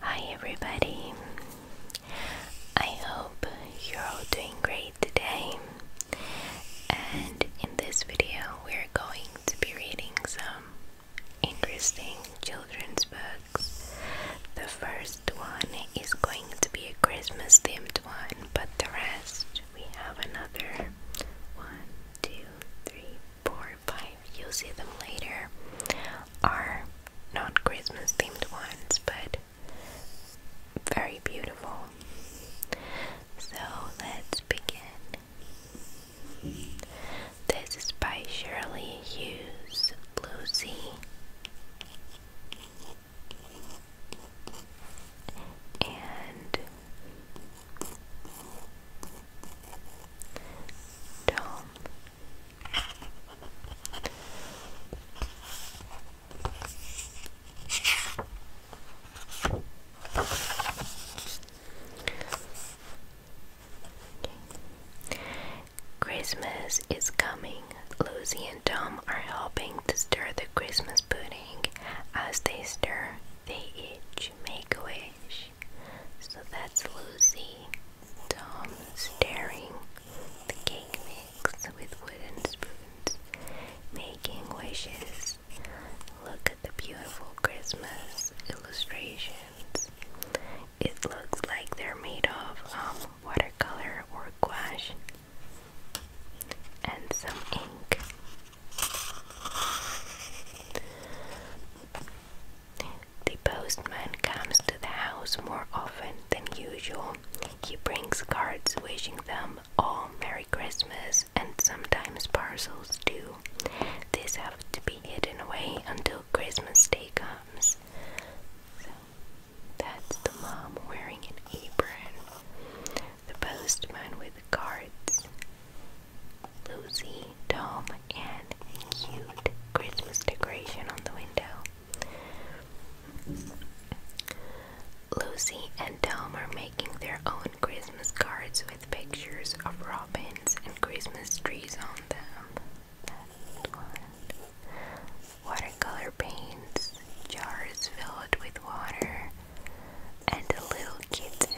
Hi everybody. I hope you're all doing great today. And in this video, we're going to be reading some interesting children's books. The first one is going to be a Christmas themed one, but the rest we have another one, two, three, four, but you'll see them later, are not Christmas themed ones, but very beautiful. So let's begin. This is by Shirley Hughes Lucy. And Dome. Christmas is coming. Lucy and Tom are helping to stir the Christmas pudding. As they stir, they each make a wish. So that's Lucy, Tom staring, the cake mix with wooden spoons, making wishes. Look at the beautiful Christmas illustrations. It looks like they're made of um, watercolor or gouache and some ink. The postman comes to the house more often than usual. He brings cards wishing them all Merry Christmas and sometimes parcels too. These have to be hidden away until Christmas Day comes. that's the mom wearing an apron. The postman with cards. Lucy dome and cute Christmas decoration on the window. Lucy and Tom are making their own Christmas cards with pictures of robins and Christmas trees on them. Watercolor paints, jars filled with water, and a little kitten.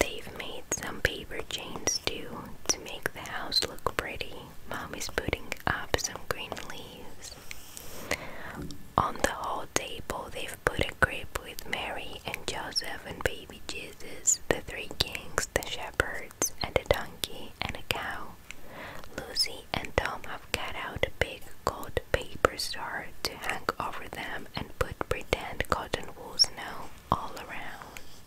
They've made some paper chains too to make the house look pretty. Mommy's putting up some green leaves. On the hall table, they've put a crib with Mary and Joseph and baby Jesus, the three kings, the shepherds, and a donkey and a cow. Lucy and Tom have cut out big gold paper stars to hang over them and put pretend cotton wool snow all around.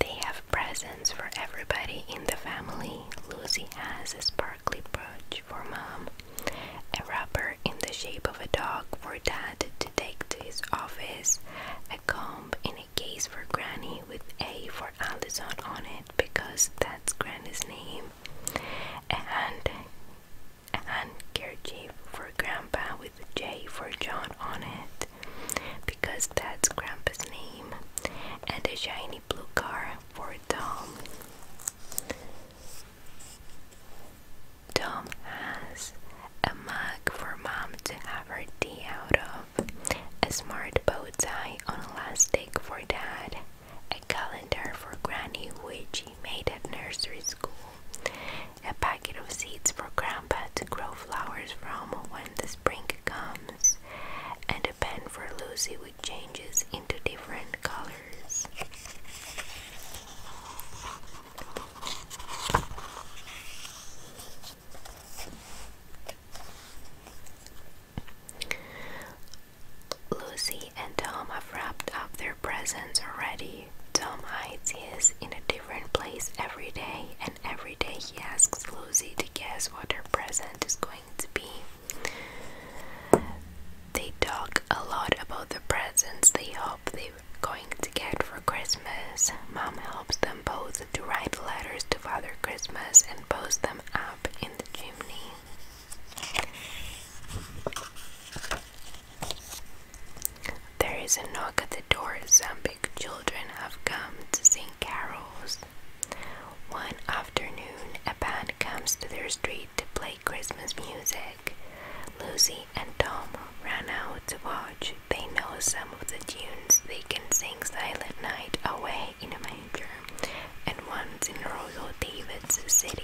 They have presents for everybody in the family. Lucy has a sparkly brooch for mom, a wrapper in the shape of a dog for Dad to take to his office, a comb in a case for Granny with A for Allison on it because that's Granny's name, a hand a handkerchief for Grandpa with J for John on it because that's Grandpa's name, and a shiny blue car for Tom. Tom has a mug for mom to have her tea out of, a smart bow tie on elastic for dad, a calendar for granny which he made at nursery school, a packet of seeds for grandpa to grow flowers from when the spring comes, and a pen for Lucy changes into different colors. Lucy and Tom have wrapped up their presents already. Tom hides his in a different place every day, and every day he asks Lucy to guess what her present is going to be. They talk a lot about the presents they hope they're going to get for Christmas. Mom helps them both to write letters to Father Christmas and post them up in the chimney. There is a knock at the door. Some big children have come to sing carols. One afternoon, a band comes to their street to play Christmas music. Lucy and Tom ran out to watch. They know some of the tunes. They can sing Silent Night Away in a Manger and Once in Royal David's City.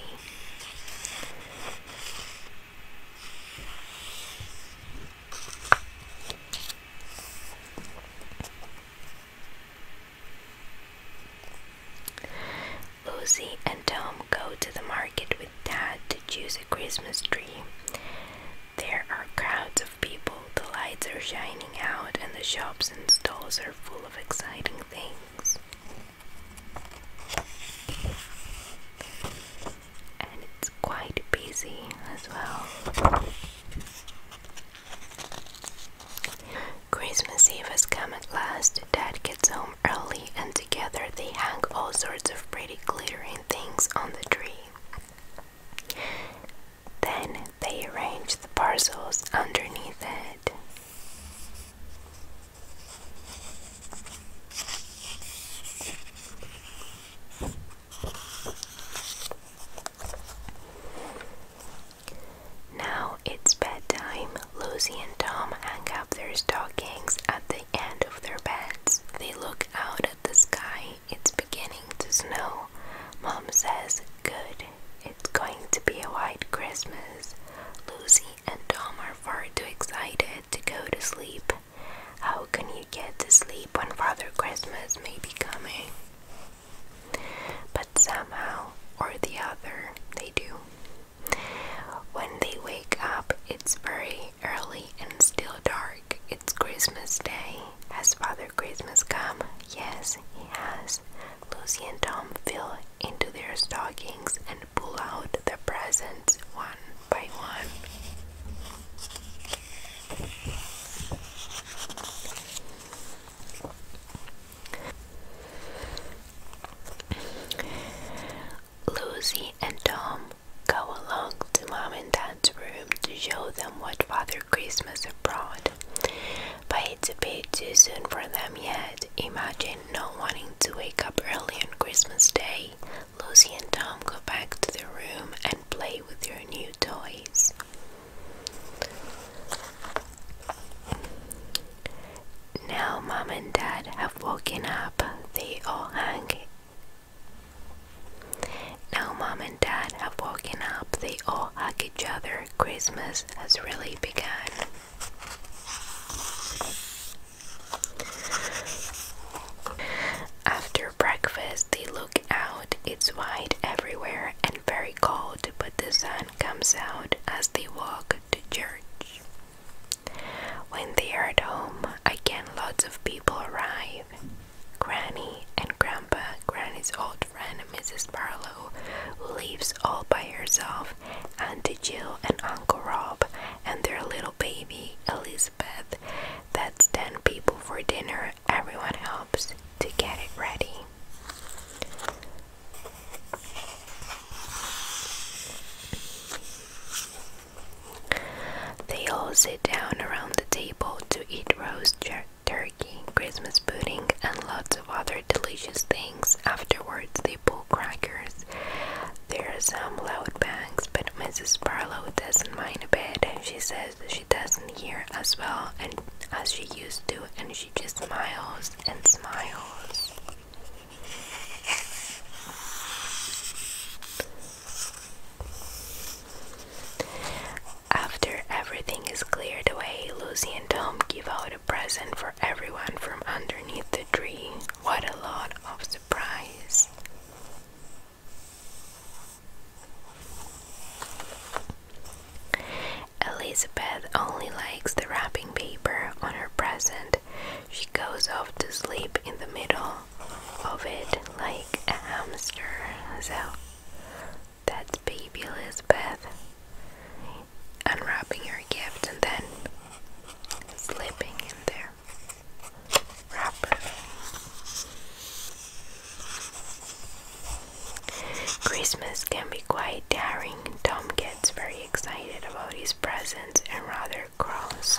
Lucy and Tom go to the market with Dad to choose a Christmas tree. There are crowds of people, the lights are shining out, and the shops and stalls are full of exciting things. And it's quite busy as well. Christmas Eve has come at last. Dad gets home early, and together they hang all sorts of pretty glittering things on the tree. Then they arrange the parcels underneath it. Now it's bedtime. Lucy and Tom hang up their stockings at the end of their beds. They look out at the sky. It's beginning to snow. Mom says, Good. It's going to be a white Christmas. Lucy and Tom are far too excited to go to sleep. How can you get to sleep when Father Christmas may be coming? But somehow or the other, they do. When they wake up, it's very early and still dark. It's Christmas Day. Has Father Christmas come? Yes, he has. Lucy and Tom feel into their stockings and pull out the presents one by one. Lucy and Tom go along to Mom and Dad's room to show them what Father Christmas had brought. But it's a bit too soon for them yet. Imagine not wanting to wake up early on Christmas Day. Lucy and Tom go back to their room and play with their new toys. Now, Mom and Dad have woken up. They all hang. Now, Mom and Dad have woken up. They all hug each other. Christmas has really begun. After breakfast, they look out. It's white everywhere, and very cold, but the sun comes out as they walk to church. When they are at home, again lots of people arrive. Granny and Grandpa, Granny's old friend Mrs. Barlow, who lives all by herself, Auntie Jill and Uncle Rob, and their little baby Elizabeth. That's 10 people for dinner. Everyone helps to get it ready. They all sit down around the table to eat roast turkey, Christmas pudding, and lots of other delicious things. Afterwards, they pull crackers. There are some loud bangs, but Mrs. Barlow doesn't mind a bit. She says she doesn't hear as well as she used to, and she just smiles and smiles. After everything is cleared away, Lucy and Tom give out a present for everyone from underneath the tree. What a lot of surprise! Elizabeth only likes the wrapping paper on her present. She goes off to sleep in the middle of it like a hamster. So that's baby Elizabeth unwrapping her gift and then slipping in there. Wrapper. Christmas can be quite daring. Tom gets very excited about his presents and rather cross.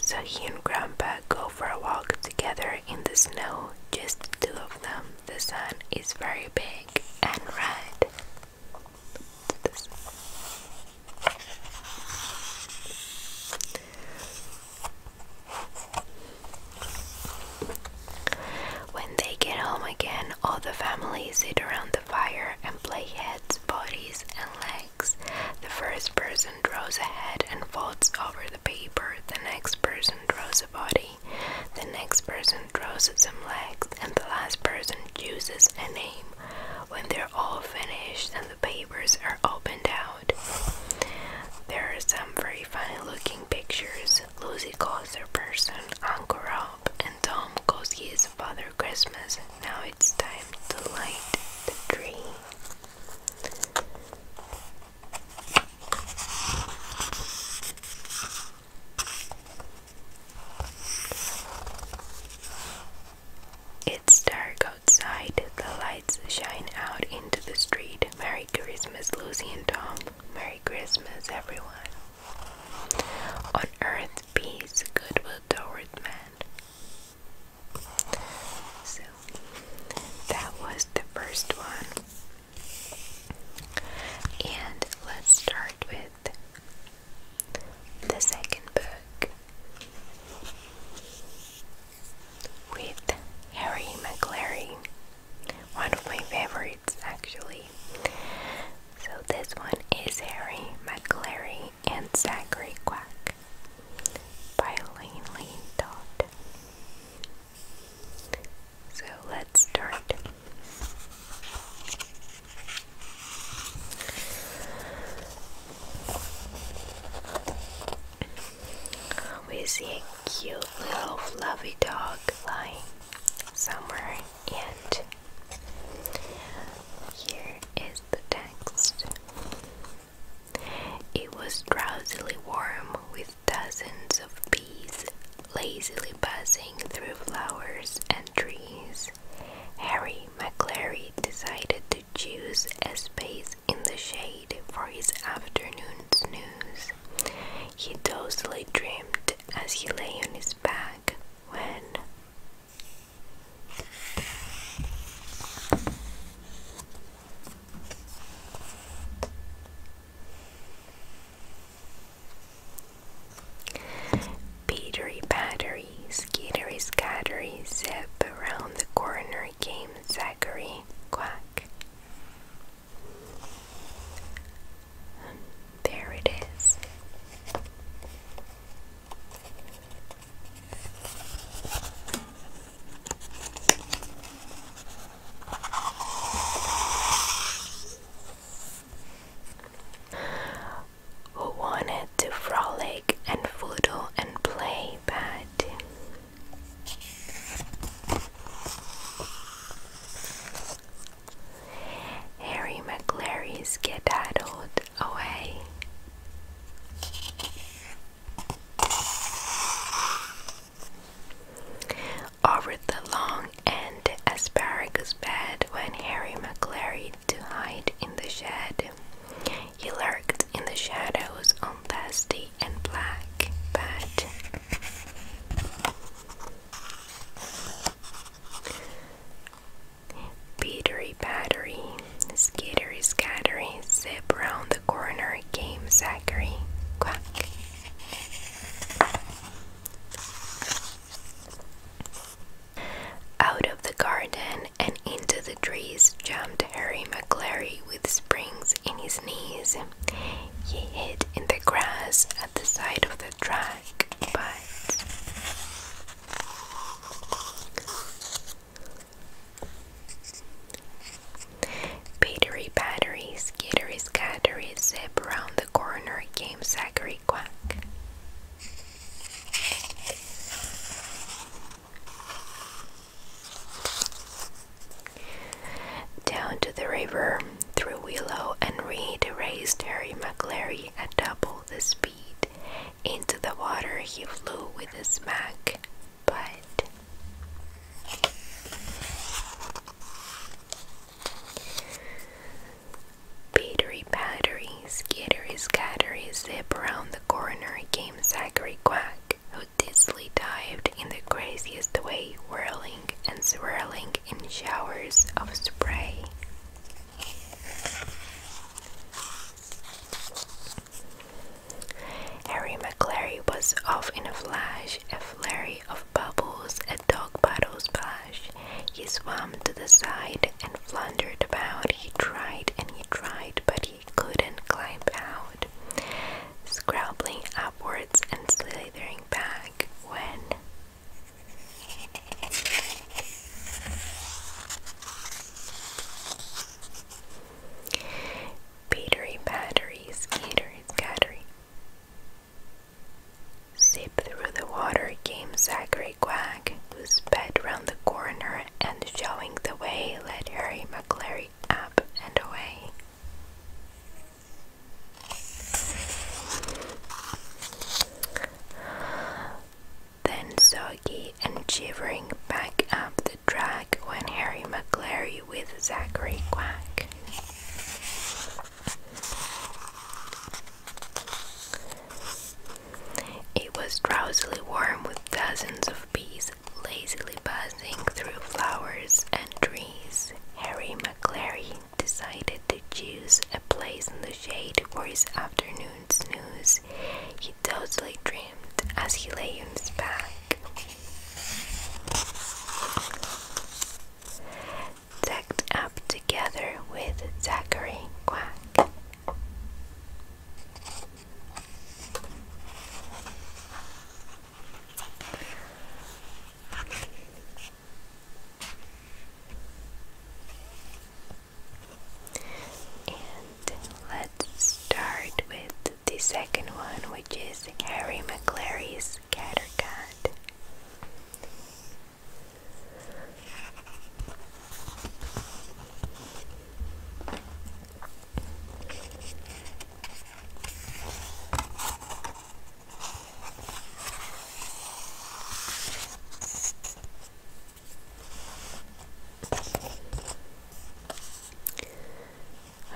So he and Grandpa go for a walk together in the snow, just two of them. The sun is very big and red. When they get home again, all the family sit around the fire and play heads, bodies, and legs. The first person draws a head and folds over the paper, the next person draws a body, the next person draws some legs, and the last person chooses a name. When they're all finished and the papers are opened out, there are some very funny looking pictures Lucy calls her person Uncle Rob, and Tom calls his Father Christmas. Now it's time to light the tree. It's dark outside, the lights shine out into the street. Merry Christmas, Lucy and Tom. Merry Christmas, everyone. On earth, peace, goodwill toward man. So, that was the first one. And let's start with the second book with Harry McClary. One of my favorites, actually. So, this one is Harry McCleary and Zachary Quack by Langley Dot. So, let's start. We see a cute little fluffy dog lying somewhere and here is the text. It was drowsily warm with dozens of bees lazily buzzing through flowers and trees. Harry McClary decided to choose a space in the shade for his afternoon snooze eyes. He dozily dreamed as he lay on his back when Petery Battery, Skittery Scattery, zip around the corner came Zachary Quack there it is. Who wanted to frolic and foodle and play, but Harry McClary's skedaddled away. Over the long and asparagus bed When Harry McClary to hide in the shed. He lurked in the shadows on dusty and black, but Petery Battery, Skittery Scattery, Zip Round the Corner, Game Zachary, Quack. Out of the garden and into the trees jumped Harry McClary with springs in his knees. He hid in the grass at the side of the track, but Battery, battery, skittery, scattery, zip round the corner came Zachary Quack. Down to the river through willow and reed raced Harry McClary at double the speed. Into the water he flew with a smack, but Petery pattery, skittery scattery, zip around the corner came Zachary Quack who dizzily dived in the craziest way, whirling and swirling in showers of spray. Harry McClary was off in a flash, a flurry of bubbles, a dog paddle splash. He swam to the side and floundered about. He tried and he tried, but he couldn't climb out, scrambling upwards and slithering back when Battery battery skater scattering. Sip through the water came Zachary Quack, who sped round the corner and showing the way led Harry McClary up and away. Then soggy and shivering back up the drag went Harry McClary with Zachary Quack. It was drowsily warm with dozens of bees lazily buzzing through flowers and trees, Harry McClary decided to choose a place in the shade for his afternoon snooze. He totally dreamt as he lay on his back. Tucked up together with Zachary Quack. And let's start with the second one, which is Harry McClary's Cat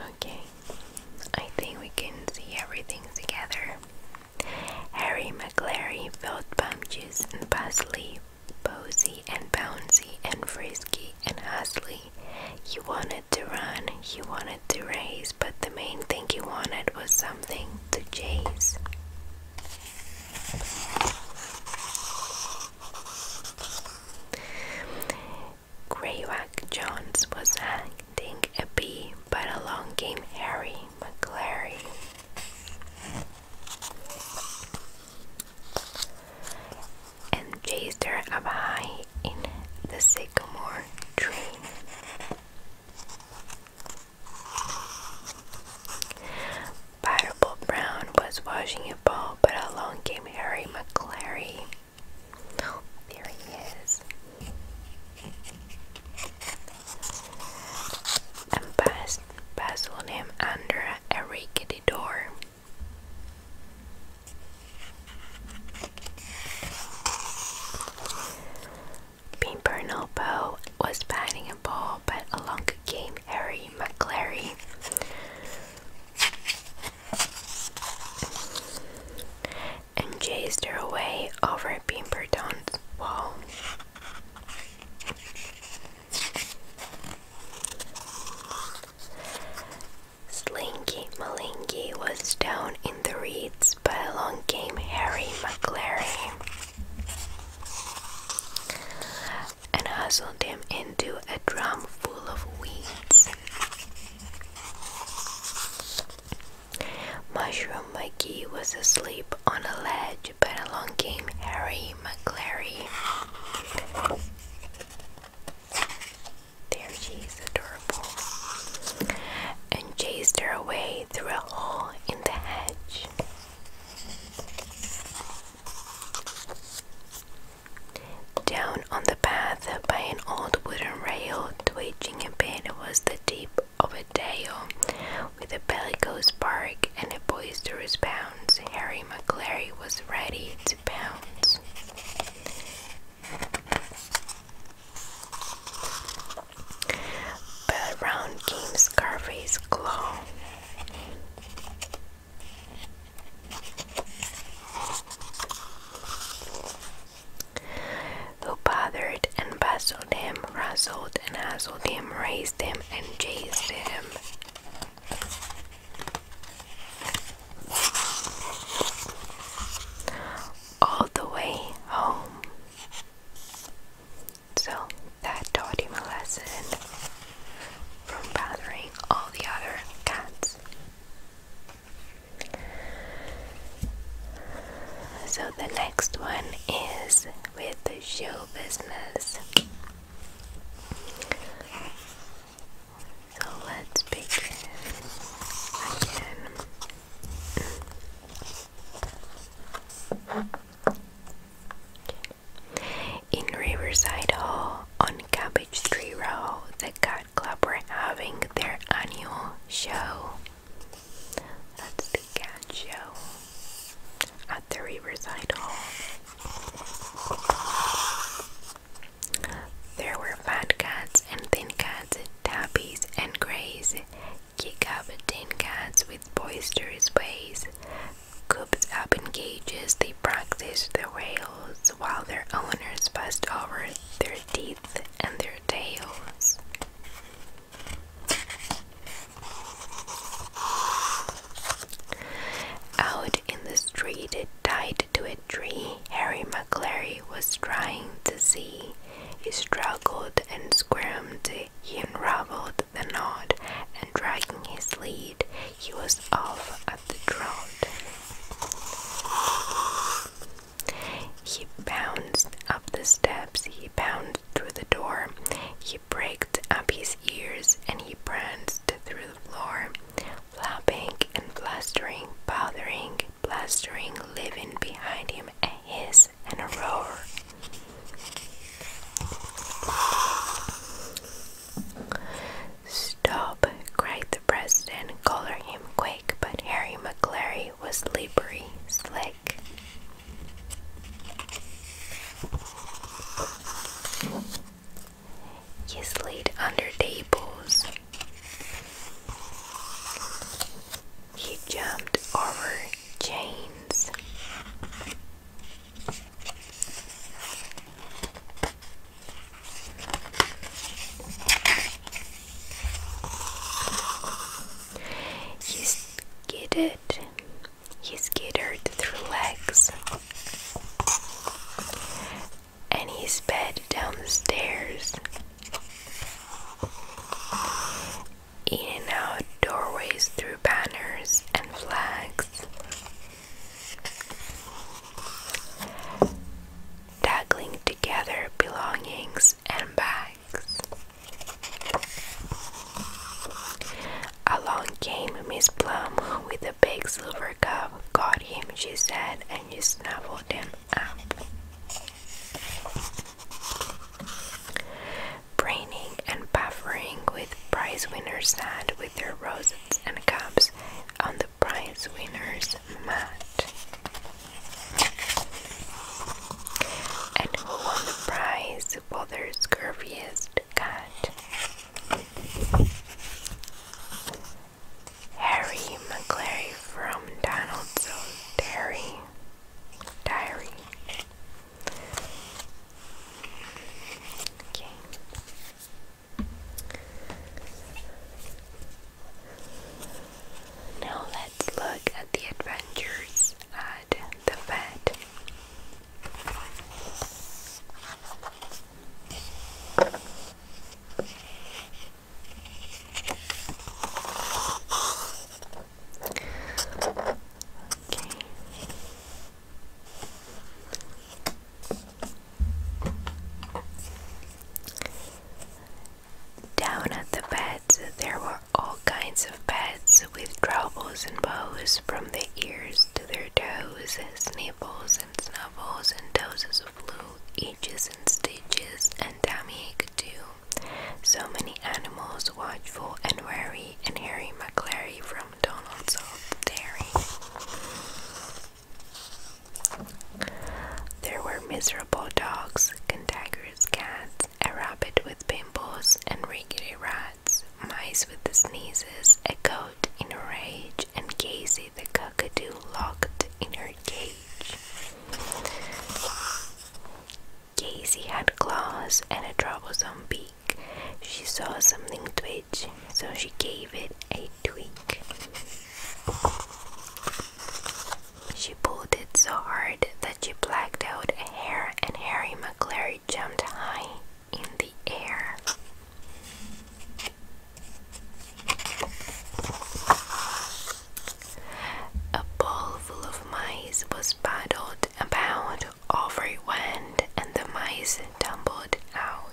Okay, I think we can see everything together. Harry McClary filled bump juice and parsley, posy and bouncy and frisky and hustly he wanted to run, he wanted to race, but the main thing he wanted was something to chase. Greyback Jones was hunting a bee, but along came Harry McClary and chased her up high in the sycamore tree. Fireball Brown was washing a bowl, but along came Harry McClary. there he is. And passed, passed on him under a rickety door. Pimpernopo was batting a ball, but along came Harry McClary. And chased her away over Don's wall. Slinky Malinky was down in the reeds, but along came Harry McClary and hustled him into a drum full of weeds. Mushroom McGee was asleep on a ledge, but along came Harry McClary there she is, adorable, and chased her away through a hole in the hedge. Down on the path by an old wooden rail, twitching a bit, was the deep of a dale, with a bellicose bark and a boisterous bounce. Harry McClary was ready to but round came Scarface's claw. Who bothered and bustled him, rustled and hustled him, raised him, and chased him all the way home. So that taught him a lesson from bothering all the other cats. So the next one is with the show business. So let's begin again. In Riverside Hall on Cabbage Tree Row, the Cat Club were having their annual show. That's the cat show the Riverside Hall. There were fat cats and thin cats, tabbies and greys, kick-up tin cats with boisterous ways. Coops up in cages, they practiced their wails while their owners fussed over their teeth and their tails. Out in the street, tied to a tree. Harry McClary was trying to see. He struggled and squirmed. He unraveled the knot, and dragging his lead, he was off at the trot. He bounced up the steps. He bounced through the door. He pricked up his ears and he pranced through the floor, flapping and blustering, bothering, blustering, leaving behind him a hiss and a roar. Stop! cried the president. Collar him quick, but Harry McClary was slippery, slick. You slid under tables. He jumped over chains. You skidded. He skittered through legs. And he sped down the stairs. In and out doorways through banners and flags. Tackling together belongings and bags. Along came Miss Plum with a big silver cup. Got him, she said, and she snuffled him up. Braining and buffering with prize winners sat with their roses and cups on the prize winners' mat. And who won the prize? his father's curviest cat. Harry McClary from Donaldson's Dairy. Diary. Now let's look at the adventures the bed. Down at the beds, there were all kinds of beds with troubles and bows from their ears to their toes, sniffles and snuffles and doses of glue, itches and stitches and tummy ache too. So many animals, watchful and wary, and Harry McClary from Donald's Old Dairy. There were miserable dogs, contagious cats, a rabbit with pimples, and rickety rats mice with the sneezes, a goat in a rage, and Casey the cockatoo locked in her cage. Casey had claws and a troublesome beak. She saw something twitch, so she gave it a tweak. She pulled it so hard that she blacked out a hair, and Harry McClary jumped high in the air. A bowl full of mice was paddled about over wind, and the mice tumbled out.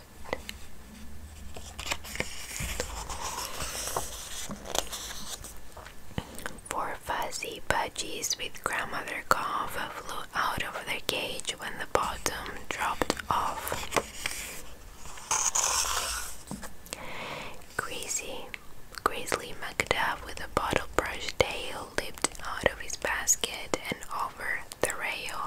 Four fuzzy budgies with grandmother cough flew out of their cage when the bottom dropped off. Greasy, Grizzly McDuff with a bottle tail leaped out of his basket and over the rail.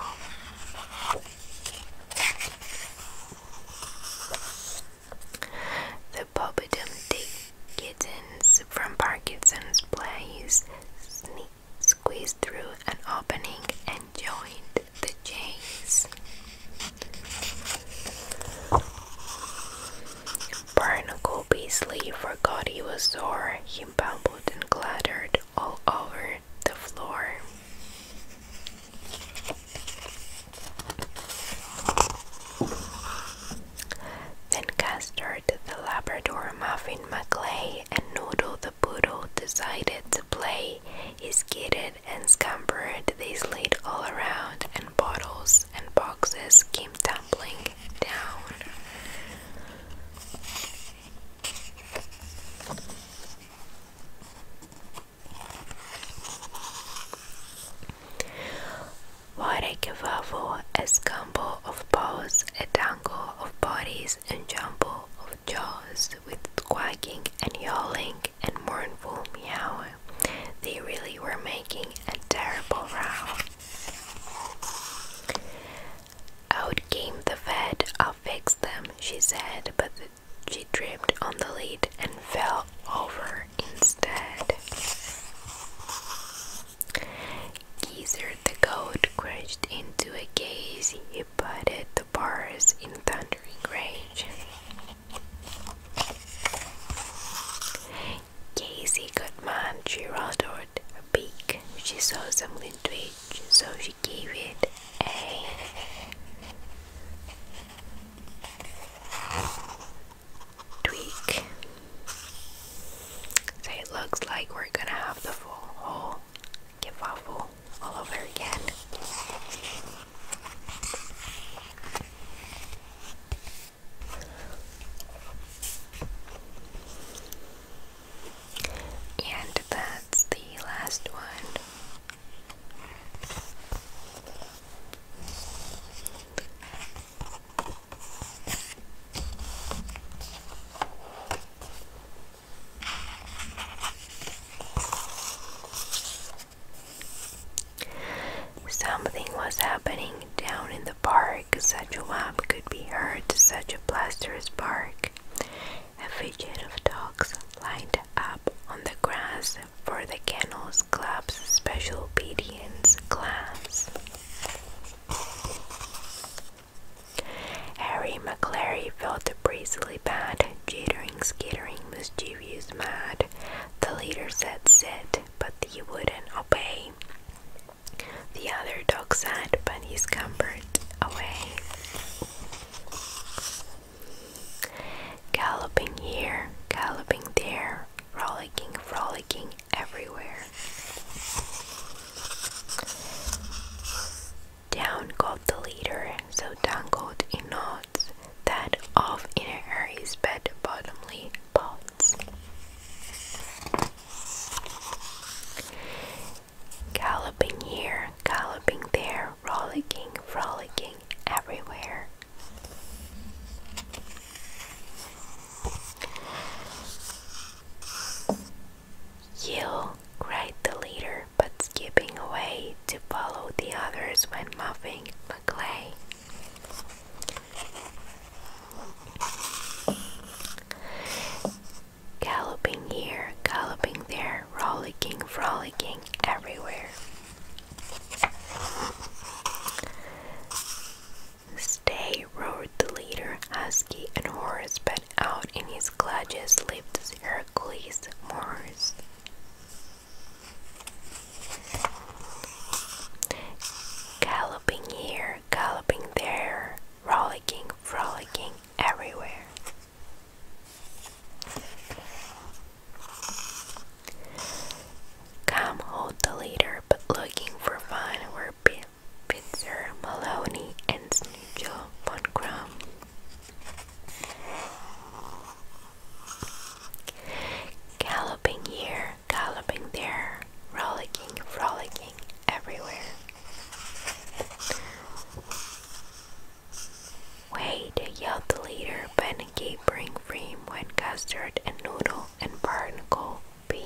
The Bobadum Dick Kittens from Parkinson's Place sneaked, squeezed through an opening and joined the chase. Barnacle forgot he was sore. He bumbled and clattered all over the floor. Then Custard, the Labrador, Muffin McClay, and Noodle the Poodle decided to play. He skidded and scampered, they slid all around, and bottles and boxes came tumbling down. Warekevavo a combo of paws, a tangle of bodies, and jumble of jaws, with quacking and yowling and mournful meow, They really were making a terrible row. Out came the fed, I'll fix them, she said, but she tripped on the lead and fell over instead. Geezer the goat crashed into a case. He butted the bars in thundering rage. Casey got mad. She roared a beak. She saw something twitch, so she gave it a tweak. So it looks like we're gonna have the full whole kifafu all over again. And that's the last one. Something was happening down in the park. Such a whump could be heard, such a blusterous bark. A fidget of dogs lined up on the grass for the kennels club's special obedience class. Harry McClary felt bracely bad, jittering, skittering, mischievous, mad. The leader said sit, but he wouldn't obey. The other dogs said, bunny's comfort away. Galloping here, galloping there, frolicking, frolicking, everywhere. Down got the leader, so tangled in knots that off inner areas bed bottomly pots. Galloping here, galloping there, rollicking, frolicking everywhere. Yell cried the leader, but skipping away to follow the others when muffing McClay. Galloping here, galloping there, rollicking, frolicking everywhere. Stay, roared the leader, husky and hoarse, but out in his clutches lived Hercules Morris. Galloping here, galloping there, rollicking, frolicking everywhere. Come hold the leader, but looking for fun were Pitzer, Maloney, and Snoopy von Galloping here, galloping there, rollicking, frolicking everywhere. Wait, yelled the leader, but a gapering frame when Custard and Noodle and Barnacle be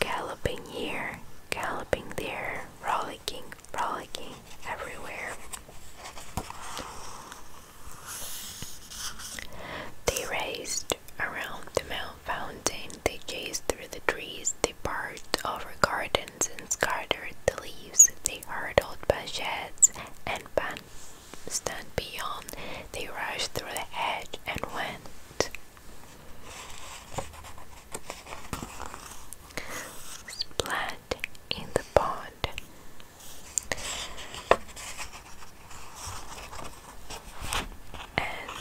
galloping here, galloping there, rollicking, rollicking everywhere. They raced around the mountain fountain, they chased through the trees, they barked over gardens and scattered the leaves, they hurtled by sheds and by stand, beyond, they rushed through the edge and went. Splat in the pond. And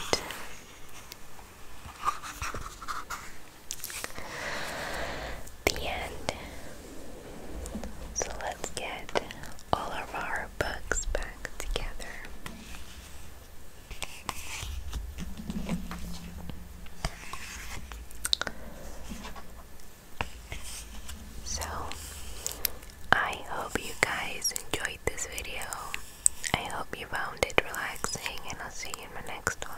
the end. So let's get all of our books back together. So, I hope you guys enjoyed this video. I hope you found it relaxing, and I'll see you in my next one.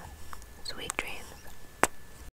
Sweet dreams.